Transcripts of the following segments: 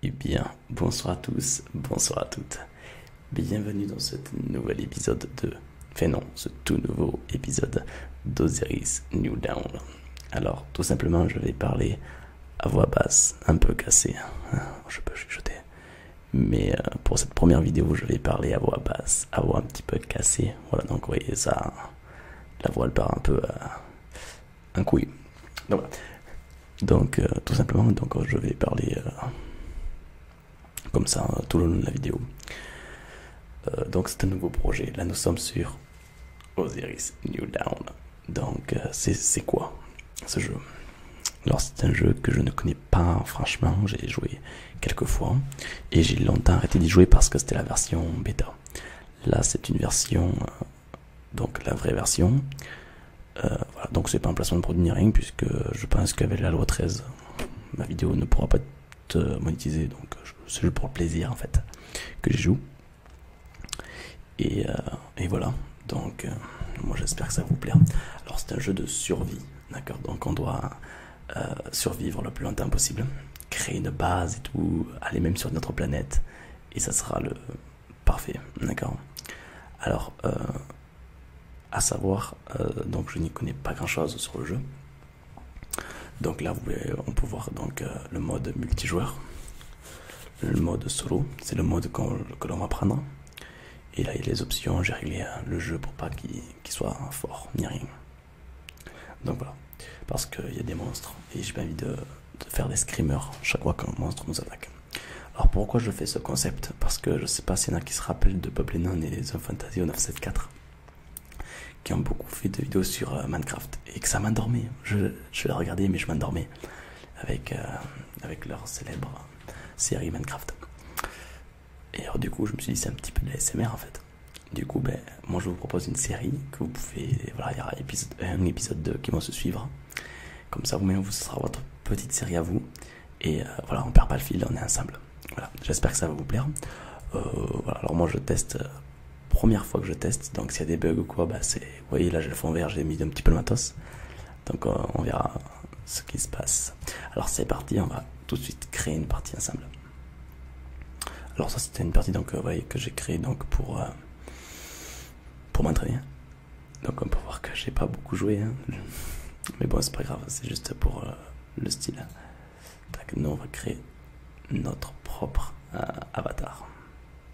Eh bien, bonsoir à tous, bonsoir à toutes. Bienvenue dans ce nouvel épisode de... Enfin non, ce tout nouveau épisode d'Osiris New Down. Alors, tout simplement, je vais parler à voix basse, un peu cassé. Hein. Je peux chuchoter. Mais euh, pour cette première vidéo, je vais parler à voix basse, à voix un petit peu cassée. Voilà, donc voyez ça, la voix elle part un peu à un couille. Donc euh, tout simplement, donc je vais parler euh, comme ça tout le long de la vidéo. donc c'est un nouveau projet. Là nous sommes sur Osiris New Down. Donc, euh, c'est quoi ce jeu Alors, c'est un jeu que je ne connais pas, franchement, j'ai joué quelques fois et j'ai longtemps arrêté d'y jouer parce que c'était la version bêta. Là, c'est une version, euh, donc la vraie version. Euh, voilà, donc, c'est pas un placement de produit ni rien, puisque je pense qu'avec la loi 13, ma vidéo ne pourra pas être monétisée, donc c'est juste pour le plaisir en fait que j'y joue. Euh, et, voilà, donc euh, moi j'espère que ça vous plaît. Alors c'est un jeu de survie, d'accord Donc on doit euh, survivre le plus longtemps possible, créer une base et tout, aller même sur notre planète, et ça sera le parfait, d'accord Alors, à savoir, donc je n'y connais pas grand chose sur le jeu. Donc là, vous pouvez, on peut voir donc, le mode multijoueur le mode solo, c'est le mode que l'on va prendre. Et là, il y a les options, j'ai réglé hein, le jeu pour pas qu'il soit fort, ni rien. Donc voilà, parce qu'il y a des monstres et j'ai pas envie de, faire des screamers chaque fois qu'un monstre nous attaque. Alors pourquoi je fais ce concept Parce que je sais pas s'il y en a qui se rappellent de Peuple Non et The Fantasy 974 qui ont beaucoup fait de vidéos sur euh, Minecraft et que ça m'endormait. Je, je la regardais mais je m'endormais avec, euh, avec leur célèbre série Minecraft. Et alors, du coup, je me suis dit, c'est un petit peu de l'ASMR en fait. Du coup, ben, moi je vous propose une série que vous pouvez. il y aura épisode, un épisode 2 qui vont se suivre. Comme ça, vous-même, vous, ce sera votre petite série à vous. Et euh, voilà, on perd pas le fil, on est ensemble. Voilà, j'espère que ça va vous plaire. Euh, voilà, alors moi je teste, première fois que je teste, donc s'il y a des bugs ou quoi, bah c'est vous voyez là j'ai le fond vert, j'ai mis un petit peu le matos. Donc euh, on verra ce qui se passe. Alors c'est parti, on va tout de suite créer une partie ensemble. Alors ça c'était une partie donc euh, voyez que j'ai créée donc pour, euh, pour m'entraîner. Donc on peut voir que j'ai pas beaucoup joué. Hein. Mais bon c'est pas grave, c'est juste pour le style. nous on va créer notre propre avatar.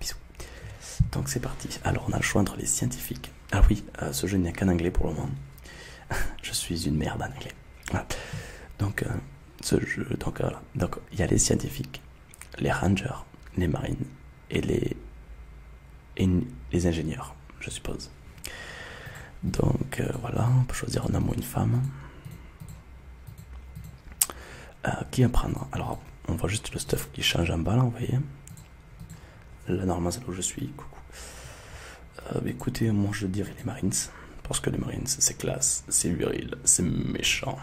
Bisous. Donc c'est parti. Alors on a le choix entre les scientifiques. Ah oui, euh, ce jeu n'y a qu'en anglais pour le moment. Je suis une merde en anglais. Donc euh, ce donc euh, Donc il y a les scientifiques, les rangers, les marines et les ingénieurs, je suppose. Donc voilà, on peut choisir un homme ou une femme. Euh, qui apprendre Alors, on voit juste le stuff qui change en bas là, vous voyez. Là, normalement, c'est là où je suis. Coucou. Euh, bah, écoutez, moi je dirais les Marines. Parce que les Marines, c'est classe, c'est viril, c'est méchant.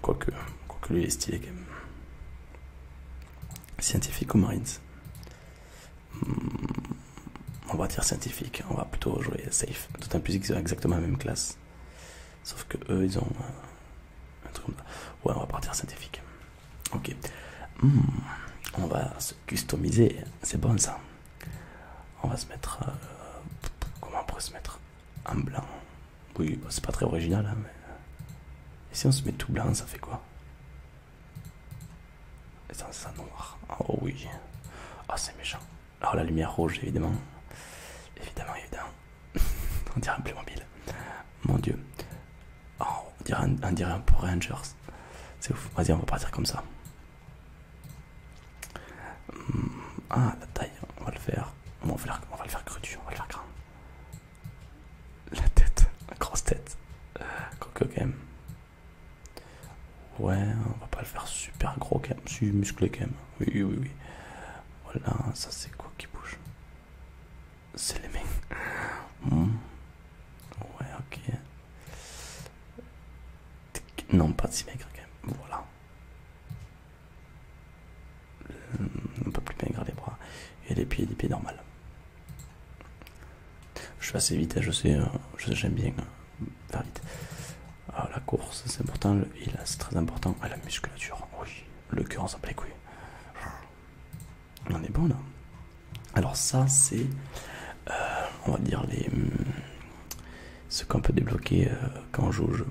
Quoique, quoique lui est stylé quand même. Scientifique ou Marines hmm, On va dire scientifique, on va plutôt jouer safe. D'autant plus ils exactement la même classe. Sauf que eux, ils ont euh, un truc comme ça. Ouais, on va partir scientifique. Ok. Hmm. on va se customiser. C'est bon ça. On va se mettre. Euh, comment on pourrait se mettre En blanc. Oui, bah, c'est pas très original. Hein, mais... Euh, si on se met tout blanc, ça fait quoi Et ça, ça noir. Oh oui. Ah, c'est méchant. Alors la lumière rouge, évidemment. Évidemment, évidemment. on dirait un mobile. Mon dieu. Oh, on dirait un, on un pour Rangers. C'est ouf. Vas-y, on va partir comme ça. Hmm. Ah, la taille, on va le faire. On va le faire, on va le on va le faire grand. La tête, la grosse tête. Coco, quand même. Ouais, on va pas le faire super gros quand même. musclé quand même oui, oui, oui. Voilà, ça c'est quoi qui bouge C'est les mains. Hmm. Ouais, ok. Non, pas si maigre quand même. Voilà. Un peu plus maigre les bras et les pieds, les pieds normales. Je suis assez vite, hein, euh, je sais, j'aime bien euh, faire vite. Ah, la course, c'est important, le il c'est très important à la musculature. Oui, le cœur, on oui. On est bon là. Alors, ça, c'est, euh, on va dire, les, hmm, ce qu'on peut débloquer euh, quand on joue au jeu.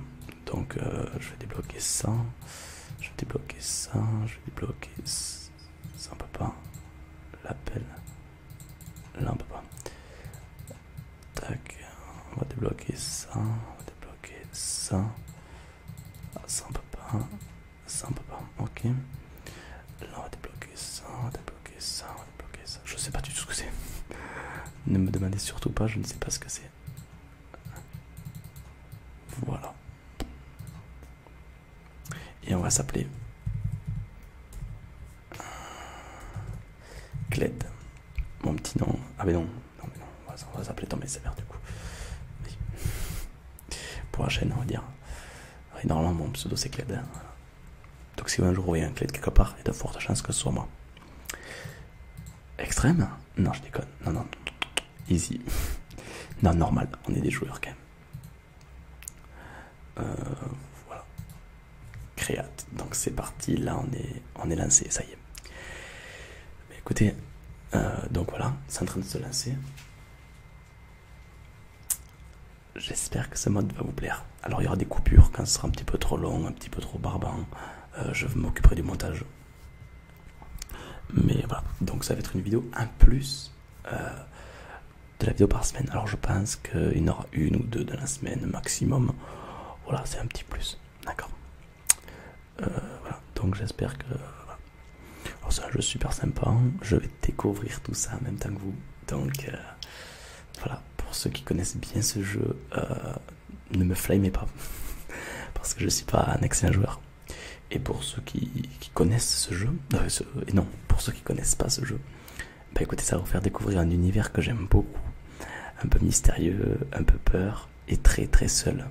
Donc, euh, je vais débloquer ça, je vais débloquer ça, je vais débloquer ça. on peut pas. L'appel, là, on peut pas. Tac, on va débloquer ça, on va débloquer ça. Ah, ça on peut pas, ça on peut pas, ok. Là on va débloquer ça, on va débloquer ça, on va débloquer ça. Je sais pas du tout ce que c'est. ne me demandez surtout pas, je ne sais pas ce que c'est. Voilà. Et on va s'appeler Cled, mon petit nom. Ah, mais non, non, on va, s'appeler Tom et du coup. Pour la chaîne, on va dire. normalement, mon pseudo c'est Cled. Hein. Donc, si un jour vous voyez un Cled quelque part, il y a de fortes chances que ce soit moi. Extrême Non, je déconne. Non, non. Easy. Non, normal. On est des joueurs quand même. Euh, voilà. Créate. Donc c'est parti, là on est, on est lancé, ça y est. écoutez, euh, donc voilà, c'est en train de se lancer. J'espère que ce mode va vous plaire. Alors il y aura des coupures quand ce sera un petit peu trop long, un petit peu trop barbant. Euh, je m'occuperai du montage. Mais voilà, donc ça va être une vidéo un plus euh, de la vidéo par semaine. Alors je pense qu'il y en aura une ou deux dans la semaine maximum. Voilà, c'est un petit plus. D'accord. Euh, voilà, donc j'espère que... c'est un jeu super sympa, hein. je vais découvrir tout ça en même temps que vous. Donc euh, voilà, pour ceux qui connaissent bien ce jeu, euh, ne me flamez pas, parce que je ne suis pas un excellent joueur. Et pour ceux qui, connaissent ce jeu, et non, pour ceux qui connaissent pas ce jeu, bah écoutez, ça va vous faire découvrir un univers que j'aime beaucoup, un peu mystérieux, un peu peur et très très seul.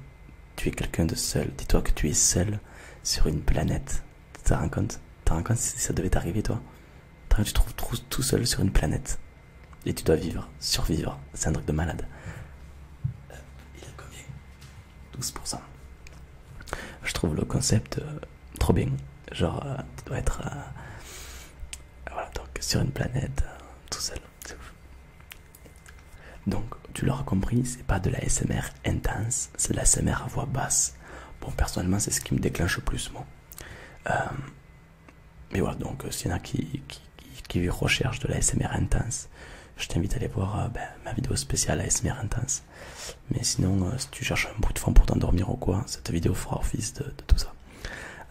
Tu es quelqu'un de seul. Dis-toi que tu es seul sur une planète. Tu te rends compte Tu te rends compte si ça devait t'arriver, toi Tu te trouves tout seul sur une planète. Et tu dois vivre, survivre. C'est un truc de malade. Euh, il a combien 12%. Je trouve le concept euh, trop bien. Genre, euh, tu dois être. Ah, voilà, donc sur une planète, euh, tout seul, Donc, tu l'auras compris, c'est pas de la SMR intense, c'est de la SMR à voix basse. Bon, personnellement, c'est ce qui me déclenche le plus, moi. Euh, mais voilà, donc, euh, s'il y en a qui, qui, qui, recherchent de la SMR intense, je t'invite à aller voir ben, ma vidéo spéciale ASMR intense. Mais sinon, si tu cherches un bout de fond pour t'endormir ou quoi, cette vidéo fera office de, de tout ça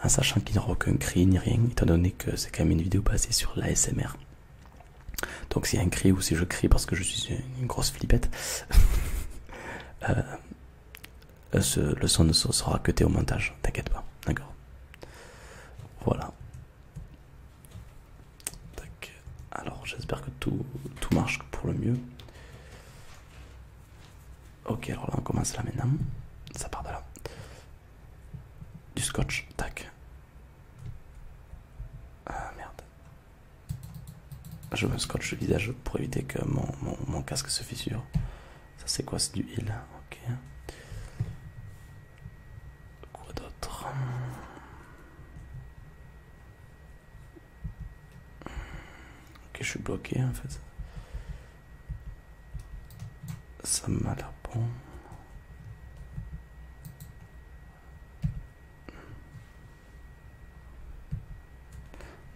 en sachant qu'il n'y aura aucun cri ni rien, étant donné que c'est quand même une vidéo basée sur l'ASMR. Donc s'il y a un cri ou si je crie parce que je suis une grosse flippette, euh, euh, le son ne sera que au montage, t'inquiète pas, d'accord Voilà. Alors j'espère que tout marche pour le mieux. Ok, alors là on commence là maintenant. Ça part de là. Du scotch, tac. Ah merde. Je me scotch le visage pour éviter que mon, mon, mon casque se fissure. Ça c'est quoi C'est du heal. Ok. Quoi d'autre Ok, je suis bloqué en fait. Ça m'a l'air bon.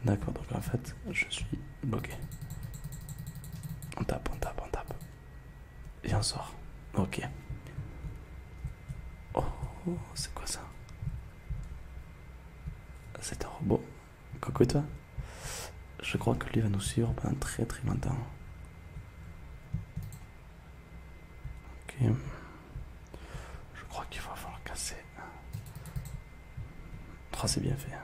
D'accord, donc en fait, je suis bloqué. On tape, on tape, on tape. Et on sort. Ok. Oh, c'est quoi ça C'est un robot. Coucou Je crois que lui va nous suivre pendant très très longtemps. Ok. Je crois qu'il va falloir casser. 3 c'est bien fait. Hein.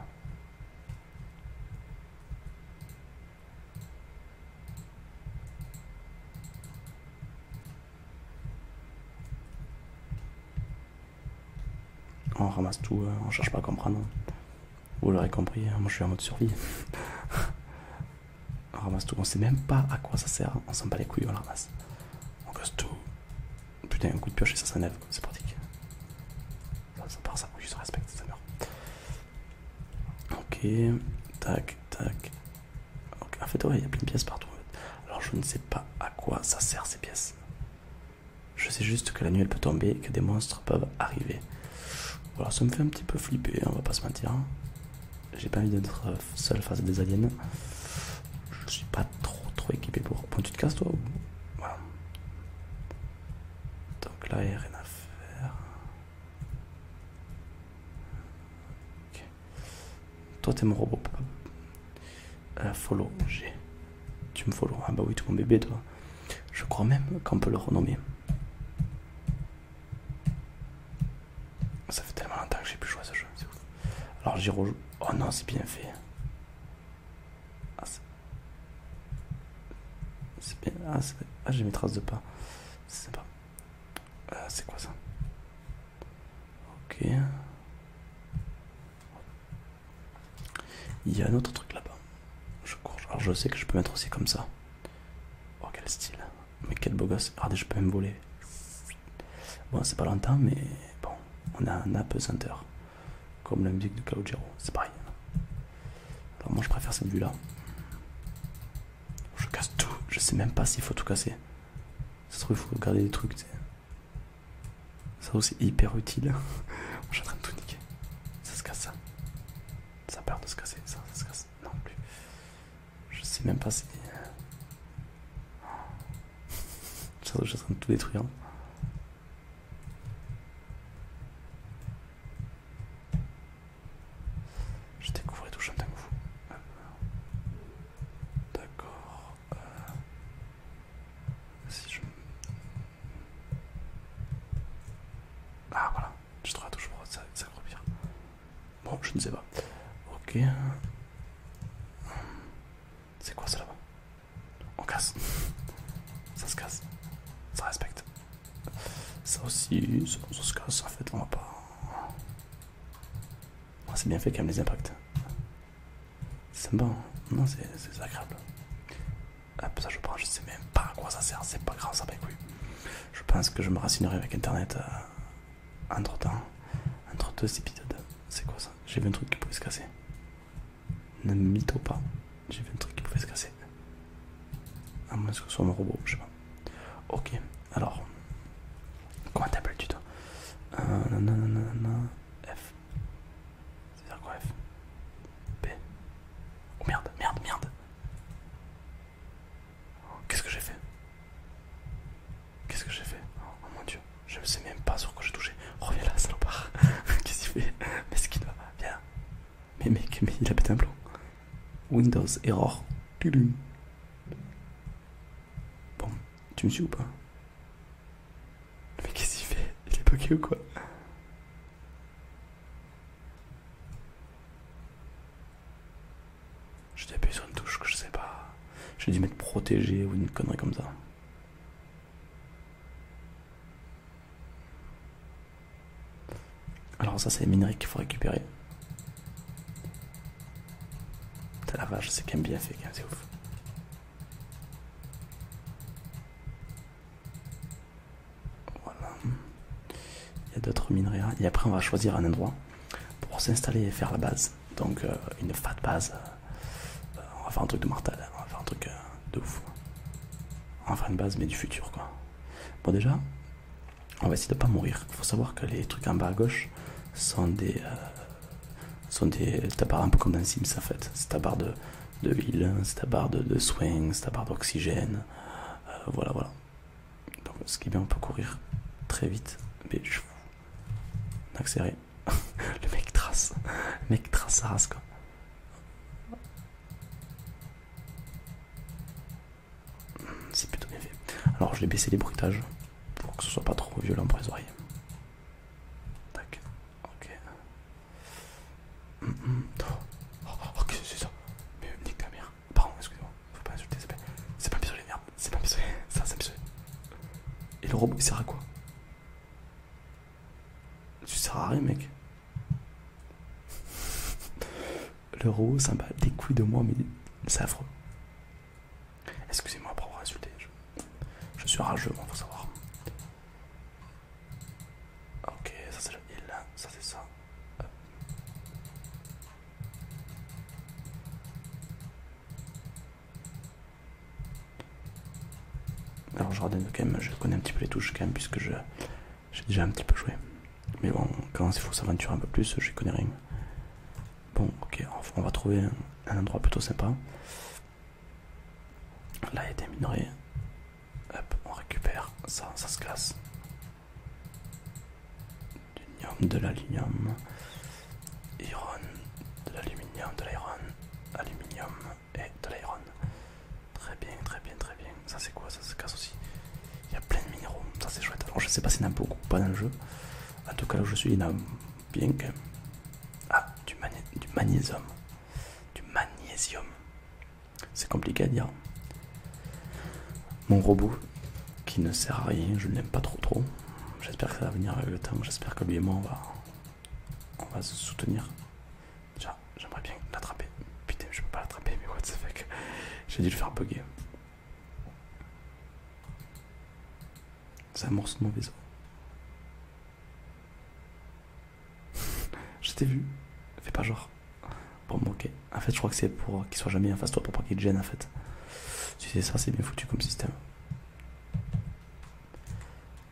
On ramasse tout, euh, on cherche pas à comprendre. Vous l'aurez compris, hein, moi je suis en mode survie. on ramasse tout, on sait même pas à quoi ça sert, hein. on s'en bat les couilles, on le ramasse. On casse tout. Putain, un coup de pioche et ça s'enlève, c'est pratique. Ça, part, ça bouge, ça respecte, ça meurt. Ok, tac, tac. En fait, ouais, il y a plein de pièces partout. Alors je ne sais pas à quoi ça sert ces pièces. Je sais juste que la nuit elle peut tomber que des monstres peuvent arriver. Voilà, ça me fait un petit peu flipper, on va pas se mentir. J'ai pas envie d'être euh, seul face à des aliens. Je suis pas trop trop équipé pour. Bon, tu te casses toi Voilà. Donc là, il a rien à faire. Ok. Toi, t'es mon robot, euh, follow, Tu me follow Ah bah oui, tu es mon bébé, toi. Je crois même qu'on peut le renommer. Ça fait tellement longtemps que j'ai plus joué ce jeu, Alors j'y Oh non, c'est bien fait. Ah, c'est bien. Ah, ah j'ai mes traces de pas. C'est sympa. Euh, c'est quoi ça Ok. Il y a un autre truc là-bas. Je je sais que je peux mettre aussi comme ça. Oh quel style. Mais quel beau gosse. Regardez, je peux même voler. Bon, c'est pas longtemps, mais bon, on a un Center Comme la musique de Calogero. C'est pareil. Alors moi je préfère cette vue-là. Je casse tout. Je sais même pas s'il faut tout casser. c'est se trouve, il faut garder des trucs. sais. Ça aussi hyper utile. Je en train de tout niquer. Ça se casse ça. Ça a peur de se casser. Ça, ça se casse. Non plus. Je sais même pas si. Euh, je en train de tout détruire. Hein. Je découvre tout, je D'accord. Euh, je... Ah voilà, je trouvé la ça, ça pire. Bon, je ne sais pas. Ok. C'est quoi ça là-bas On casse. ça se casse. Ça respecte. Ça aussi, ça, se casse en fait, on va pas... C'est bien fait quand même les impacts. C'est bon, non, c'est agréable. Ah ça je prends, je sais même pas à quoi ça sert, c'est pas grave, ça lui bah, Je pense que je me racinerai avec internet euh, entre temps. Entre deux épisodes, c'est quoi ça J'ai vu un truc qui pouvait se casser. Ne mytho pas, j'ai vu un truc qui pouvait se casser. À moins que ce soit mon robot, je sais pas. Ok, alors. Comment t'appelles-tu toi non, non, non, non, F. C'est-à-dire quoi F B Oh merde, merde, merde Qu'est-ce que j'ai fait Qu'est-ce que j'ai fait oh, mon dieu, je ne sais même pas sur quoi j'ai touché. Reviens oh, là, salopard Qu'est-ce qu'il fait Mais ce qu'il doit, viens Mais mec, mais il a pété un plomb Windows, erreur Bon, tu me suis ou pas mais qu'est-ce qu'il fait Il est bugué ou quoi J'ai appuyé sur une touche que je sais pas. J'ai dû mettre protégé ou une connerie comme ça. Alors ça c'est les minerais qu'il faut récupérer. T'as la vache, c'est quand même bien fait, c'est ouf. Voilà. Il y a d'autres minerais. Hein. Et après, on va choisir un endroit pour s'installer et faire la base. Donc, euh, une fat base. Euh, on va faire un truc de mortal. Hein. On va faire un truc euh, de ouf. On va faire une base, mais du futur, quoi. Bon, déjà, on va essayer de pas mourir. Il faut savoir que les trucs en bas à gauche sont des, sont des tabards un peu comme dans Sims en fait. C'est ta barre de, de ville, c'est ta barre de, swing, c'est ta barre d'oxygène. Euh, voilà, voilà. Donc ce qui est bien, on peut courir très vite. Mais je accéléré. le mec trace. Le mec trace ça race quoi. C'est plutôt bien fait. Alors je vais baisser les bruitages pour que ce soit pas trop violent pour les oreilles. Tac. Ok. Mm, mm. Oh. Oh, ok c'est ça Mais euh, nique ta mère. Pardon, excusez-moi. Faut pas insulter, c'est pas... C'est pas merde. C'est pas un Ça, c'est un Et le robot, il sert à quoi Tu sert à rien, mec. le robot, ça me bat des couilles de moi, mais c'est affreux. Excusez-moi pour avoir insulté. Je suis rageux, bon faut savoir. Ok, ça c'est le ville, ça c'est ça. Alors je redonne quand même, je connais un petit peu les touches quand même puisque je j'ai déjà un petit peu joué. Mais bon, quand il faut s'aventurer un peu plus, je connais rien. Bon, ok, on va trouver un endroit plutôt sympa. Là il y a des minerais. Hop, on récupère ça, ça se casse. de l'aluminium, de l'aluminium, de l'iron, aluminium et de l'iron. Très bien, très bien, très bien. Ça c'est quoi Ça se casse aussi. Il y a plein de minéraux, ça c'est chouette. Alors je sais pas s'il y en a beaucoup, pas dans le jeu. En tout cas là où je suis, il y en a bien. Ah, du, magnésium. Du magnésium. C'est compliqué à dire. Mon robot, qui ne sert à rien, je ne l'aime pas trop trop. J'espère que ça va venir avec le temps. J'espère que lui et moi, on va, on se soutenir. j'aimerais bien l'attraper. Putain, je peux pas l'attraper, mais what the fuck. J'ai dû le faire bugger. Ça amorce mon vaisseau. je t'ai vu, fais pas genre. Bon, ok. En fait, je crois que c'est pour qu'il soit jamais en face de toi, pour pas qu'il te gêne en fait. tu sais ça, c'est bien foutu comme système.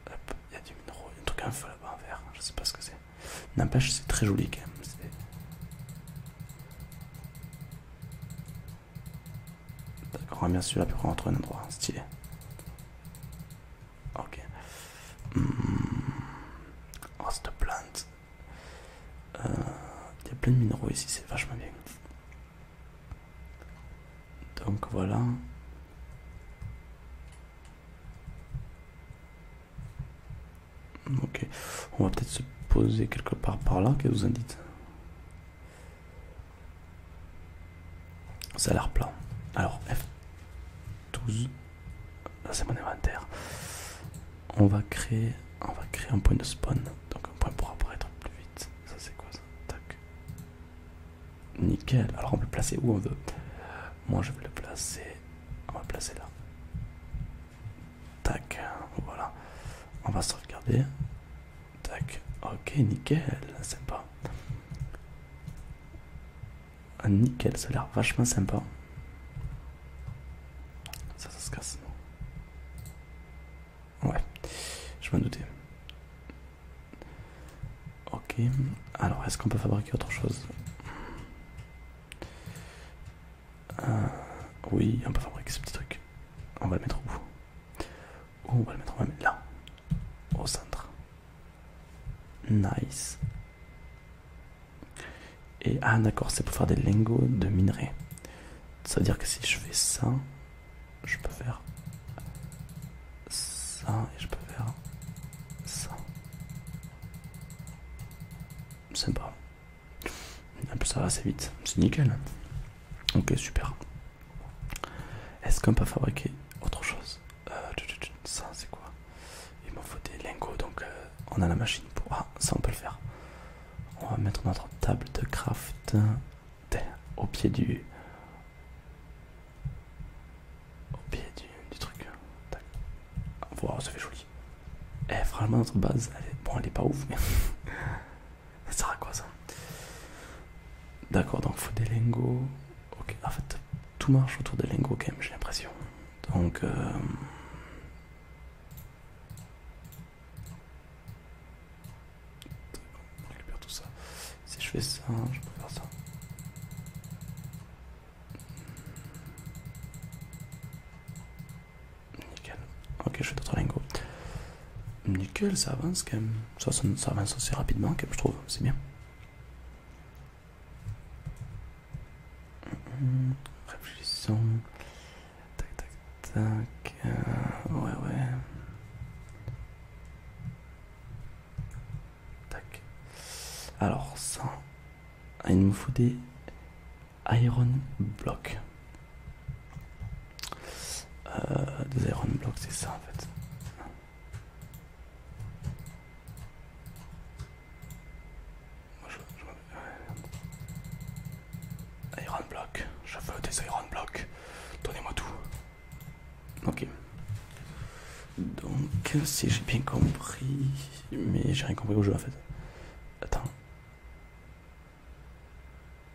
Hop, il y a du minéraux, il y a un truc un feu là-bas en vert, je sais pas ce que c'est. N'empêche, c'est très joli quand même. D'accord, bien sûr là pour rentrer un endroit, stylé. Ok. Hmm. Oh, cette plante. Euh, il y a plein de minéraux ici, c'est vachement bien. Donc voilà. Ok, on va peut-être se poser quelque part par là, qu'est-ce que vous en dites l'air plan. Alors F12. Là c'est mon inventaire. On va créer. On va créer un point de spawn. Donc un point pour apparaître plus vite. Ça c'est quoi ça Tac. Nickel. Alors on peut le placer où on veut. Moi je vais le placer. On va le placer là. Tac. Voilà. On va se regarder. Tac. Ok, nickel, sympa. un nickel, ça a l'air vachement sympa. Ça, ça se casse, Ouais, je m'en doutais. Ok, alors est-ce qu'on peut fabriquer autre chose euh, Oui, on peut fabriquer ce petit truc. On va le mettre où on va le mettre même là, au centre. Nice. Et ah d'accord, c'est pour faire des lingots de minerai. Ça veut dire que si je fais ça, je peux faire ça et je peux faire ça. Sympa. En plus ça va assez vite, c'est nickel. Ok super. Est-ce qu'on peut fabriquer autre chose euh, Ça c'est quoi Il m'en faut des lingots donc euh, on a la machine pour... Ah ça on peut le faire. On va mettre notre table de craft euh, au pied du... Au pied du, truc. Voilà, ça fait joli. Eh, franchement, notre base, elle est... bon, elle est pas ouf, mais Ça sert quoi ça D'accord, donc faut des lingots. Ok, en fait, tout marche autour des lingots quand même, j'ai l'impression. Donc. Euh, on récupère tout ça. Si je fais ça, je peux faire ça. Nickel. Ok, je fais d'autres lingots. Nickel, ça avance quand même ça, ça, ça assez rapidement, je trouve, c'est bien. Hum, réfléchissons. Tac, tac, tac. Euh, ouais, ouais. Tac. Alors, ça. Il nous faut des iron blocks. Euh, des iron blocks, c'est ça en fait. je, Iron block, je veux des iron blocks. Donnez-moi tout. Ok. Donc, si j'ai bien compris, mais j'ai rien compris au jeu en fait. Attends.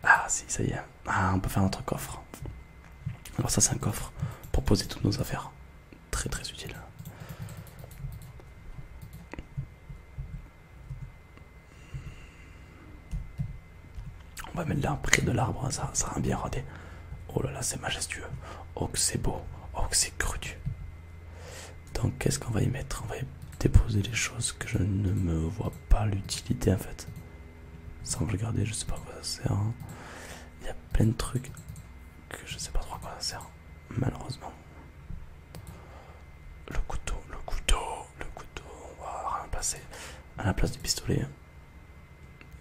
Ah si, ça y est. Ah, on peut faire notre coffre. Alors ça c'est un coffre pour poser toutes nos affaires. Très très utile. On va mettre là près de l'arbre, ça, ça bien rodé. Oh là là, c'est majestueux. Oh que c'est beau. Oh que c'est cru. Donc qu'est-ce qu'on va y mettre On va déposer les choses que je ne me vois pas l'utilité en fait sans le regarder, je sais pas quoi ça sert. Hein. Il y a plein de trucs que je sais pas trop à quoi ça sert, malheureusement. Le couteau, le couteau, le couteau, on va passer. à la place du pistolet.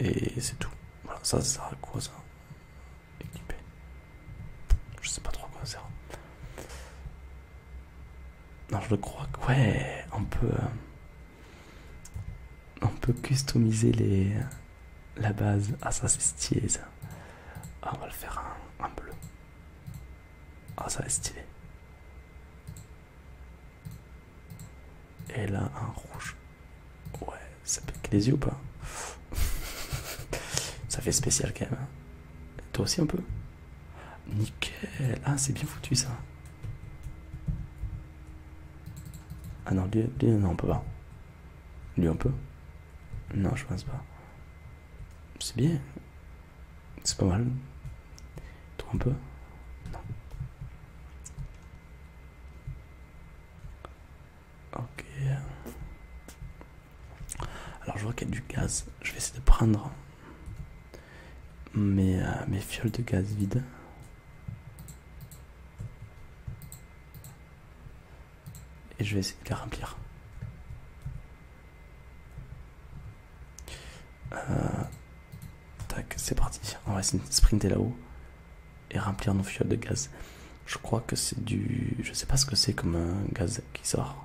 Et c'est tout. Voilà, ça, ça sert à quoi ça Équipé. Je sais pas trop à quoi ça sert. Non, je le crois que... Ouais, on peut... Euh, on peut customiser les, la base. Ah, ça c'est stylé ça. on va le faire en bleu. Ah, ça va être stylé. Et là, un rouge. Ouais, ça pique les yeux ou pas Ça fait spécial quand même. Hein. Toi aussi un peu Nickel. Ah, c'est bien foutu ça. Ah non, non, on peut pas. Lui, on peut Non, je pense pas. C'est bien. C'est pas mal. Toi, un peu Non. Ok. Alors, je vois qu'il y a du gaz. Je vais essayer de prendre. Euh, mes, fioles de gaz vides. Et je vais essayer de les remplir. Euh, tac, c'est parti. On va essayer de sprinter là-haut et remplir nos fioles de gaz. Je crois que c'est du. Je sais pas ce que c'est comme un gaz qui sort.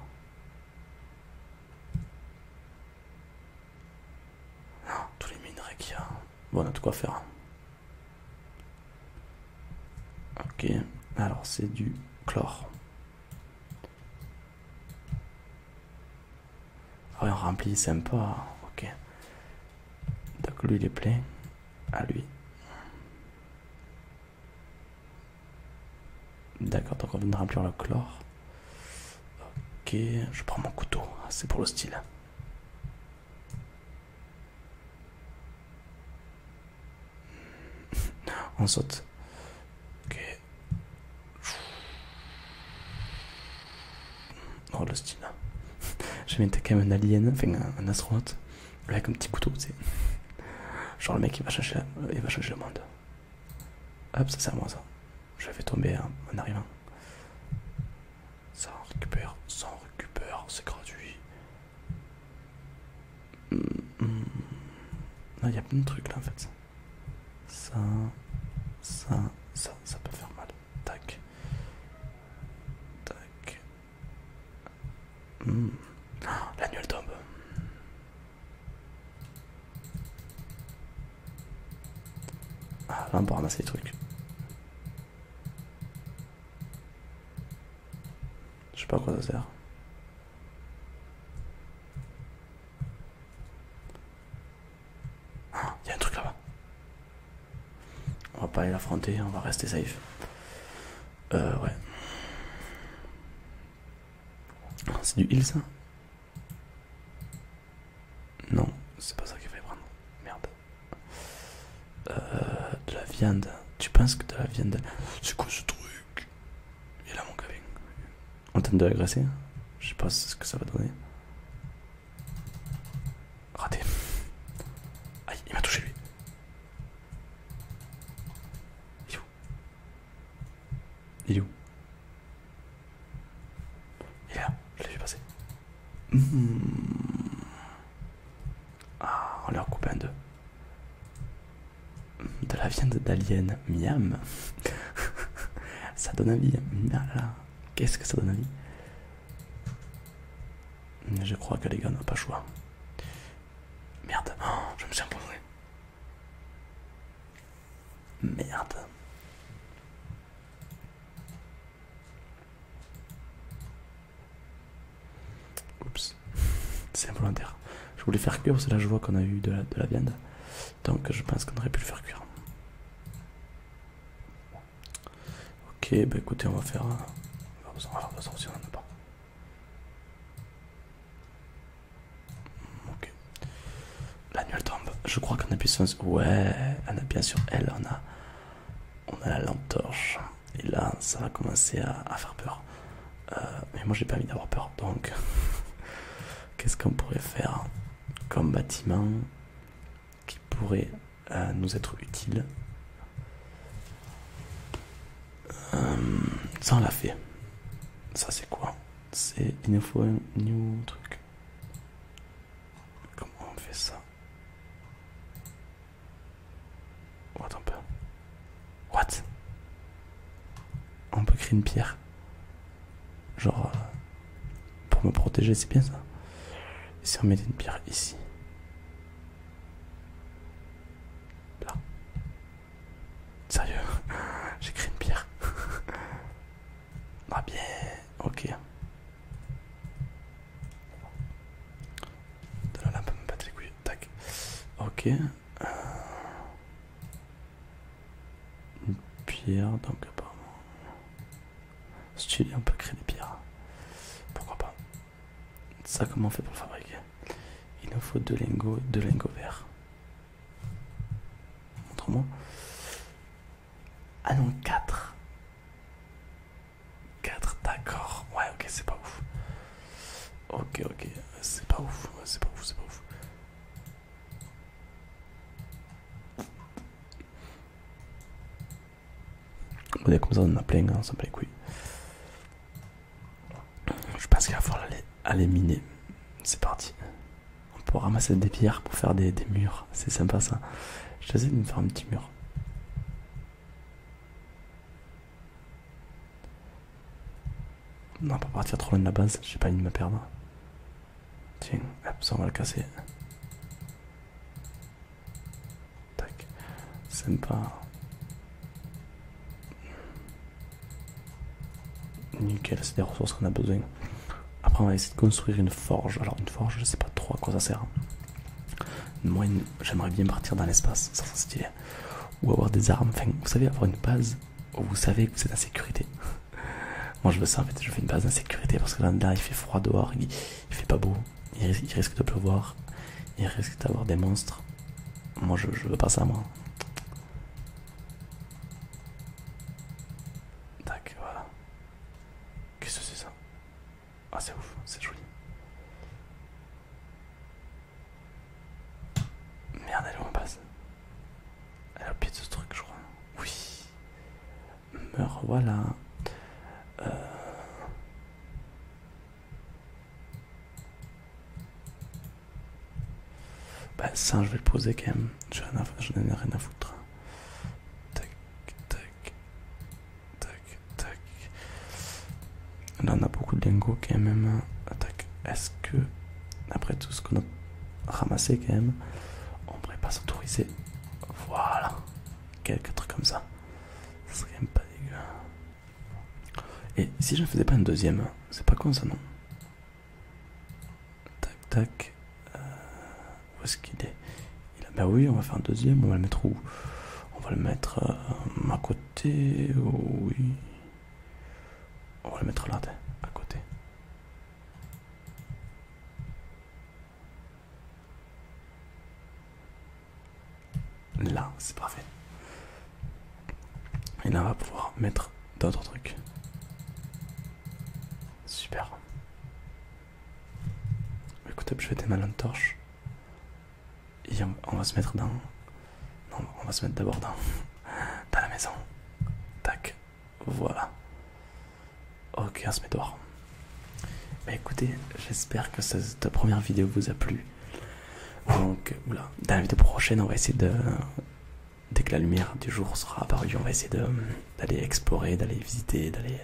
Tous les minerais qu'il y a. Bon, on a de quoi faire. Ok, alors c'est du chlore. Ah on remplit, sympa. Ok. Donc lui, il est plein. À lui. D'accord, donc on vient de remplir le chlore. Ok, je prends mon couteau, ah, c'est pour le style. On saute. Ok. Oh le style. J'ai mis quand même un alien, enfin un, astronaute. avec un petit couteau, sais. Genre le mec va chercher il va changer le monde. Hop, ça sert à moi ça. Je vais tomber hein, en arrivant. Ça récupère, ça récupère, c'est gratuit. Mm, mm. Il y a plein de trucs là en fait. Ça, ça, ça, ça peut faire mal. Tac. Tac. la mm. ah, nuit L'annuel tombe. Ah, là, on peut ramasser les trucs. Je sais pas à quoi ça sert. Ah, il y a un truc là-bas. On va pas aller l'affronter, on va rester safe. Euh, ouais. C'est du heal ça non, c'est pas ça qu'il fallait prendre. Merde. Euh, de la viande. Tu penses que de la viande. C'est quoi ce truc Il là, mon Kevin. On tente de l'agresser. Je sais pas ce que ça va donner. Raté. Aïe, il m'a touché lui. Il est où Il est où et là, je l'ai vu passer. Hmm. Ah, on leur coupe un deux. Hmm, de la viande d'alien, miam. ça donne envie. Ah qu'est-ce que ça donne envie hmm, Je crois que les gars n'ont pas le choix. Merde, oh, je me suis empoisonné. Merde. Oups, c'est involontaire. Je voulais faire cuire, c'est la là je vois qu'on a eu de la, viande. Donc je pense qu'on aurait pu le faire cuire. Ok, bah écoutez, on va faire. Euh, Ok. La Nuelle tombe. Je crois qu'on a puissance. Ouais, on a bien sûr elle. On a, on a la lampe torche. Et là, ça va commencer à, faire peur. Euh, mais moi, j'ai pas envie d'avoir peur. Donc, qu'est-ce qu'on pourrait faire comme bâtiment qui pourrait euh, nous être utile euh, Ça, on l'a fait. Ça, c'est quoi C'est une info, new truc. Comment on fait ça oh, Attends un peu. What On peut créer une pierre Genre, euh, pour me protéger, c'est bien ça. Et si on mettait une pierre ici Là. Sérieux J'ai créé une pierre. Ah bien, ok. De la lampe me battre les Tac. Ok. Euh. Une pierre, donc apparemment. Stylé, on peut créer des pierres. Pourquoi pas Ça, comment on fait pour fabriquer Il nous faut deux lingots, deux lingots verts. Montre-moi. Ah non, 4. 4, d'accord. Ouais, ok, c'est pas ouf. Ok, ok, c'est pas ouf, c'est pas ouf, c'est pas ouf. On voyez, comme ça, on en a plein, on ça plaît les Je pense qu'il va falloir lettre. Allez, miner. C'est parti. On peut ramasser des pierres pour faire des, murs. C'est sympa ça. Je essayer de me faire un petit mur. Non, pas partir trop loin de la base. J'ai pas envie de me perdre. Tiens, hop, ça on va le casser. Tac. Sympa. Nickel, c'est des ressources qu'on a besoin. Après, on va essayer de construire une forge. Alors, une forge, je sais pas trop à quoi ça sert. Hein. Moi, j'aimerais bien partir dans l'espace, ça serait stylé. Ou avoir des armes, enfin, vous savez, avoir une base où vous savez que c'est sécurité. Moi, je veux ça en fait, je fais une base d'insécurité parce que là, il fait froid dehors, il, fait pas beau, il, risque de pleuvoir, il risque d'avoir des monstres. Moi, je, je veux pas ça, moi. Tac, voilà. Qu'est-ce que c'est ça Ah c'est ouf, c'est joli. Merde, elle est où on passe Elle a pied de ce truc, je crois. Oui. Meurs, voilà. Euh. Bah ça je vais le poser quand même. J'en ai, rien à foutre. Tac, tac, tac, tac. Là on a beaucoup de lingots quand même. Est-ce que après tout ce qu'on a ramassé quand même, on pourrait pas s'autoriser Voilà. Quelques trucs comme ça. Ce serait quand même pas dégueu. Et si je ne faisais pas une deuxième, c'est pas con ça non Tac, tac. Euh, où est-ce qu'il est, ben oui, on va faire un deuxième. On va le mettre où On va le mettre euh, à côté. Oh oui. On va le mettre là, à côté. Là, c'est parfait. Et là, on va pouvoir mettre d'autres trucs. Super. Écoute, je vais démarrer une torche. Et on, va se mettre dans... Non, on va se mettre d'abord dans... Dans la maison. Tac. Voilà. Ok, on se met dehors. Bah écoutez, j'espère que cette première vidéo vous a plu. Donc, voilà. dans la vidéo prochaine, on va essayer de dès que la lumière du jour sera apparue, on va essayer d'aller explorer, d'aller visiter, d'aller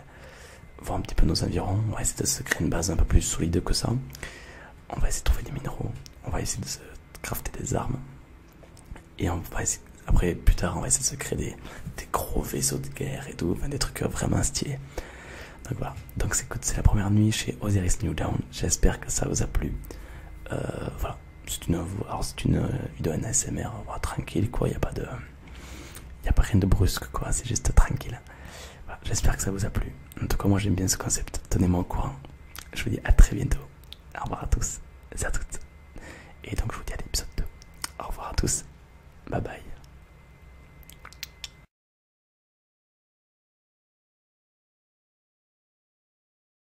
voir un petit peu nos environs. On va essayer de se créer une base un peu plus solide que ça. On va essayer de trouver des minéraux. On va essayer de se crafter des armes. Et après, plus tard, on va essayer de se créer des, gros vaisseaux de guerre et tout, des trucs vraiment stylés. Donc voilà, donc c'est la première nuit chez Osiris New J'espère que ça vous a plu. Euh, voilà, c'est une, une euh, vidéo en ASMR, tranquille quoi, il n'y a pas de... Il a pas rien de brusque quoi, c'est juste tranquille. J'espère que ça vous a plu. En tout cas, moi j'aime bien ce concept. Tenez-moi au courant. Je vous dis à très bientôt. Au revoir à tous à toutes. Et donc je vous dis à l'épisode 2. Au revoir à tous. Bye bye.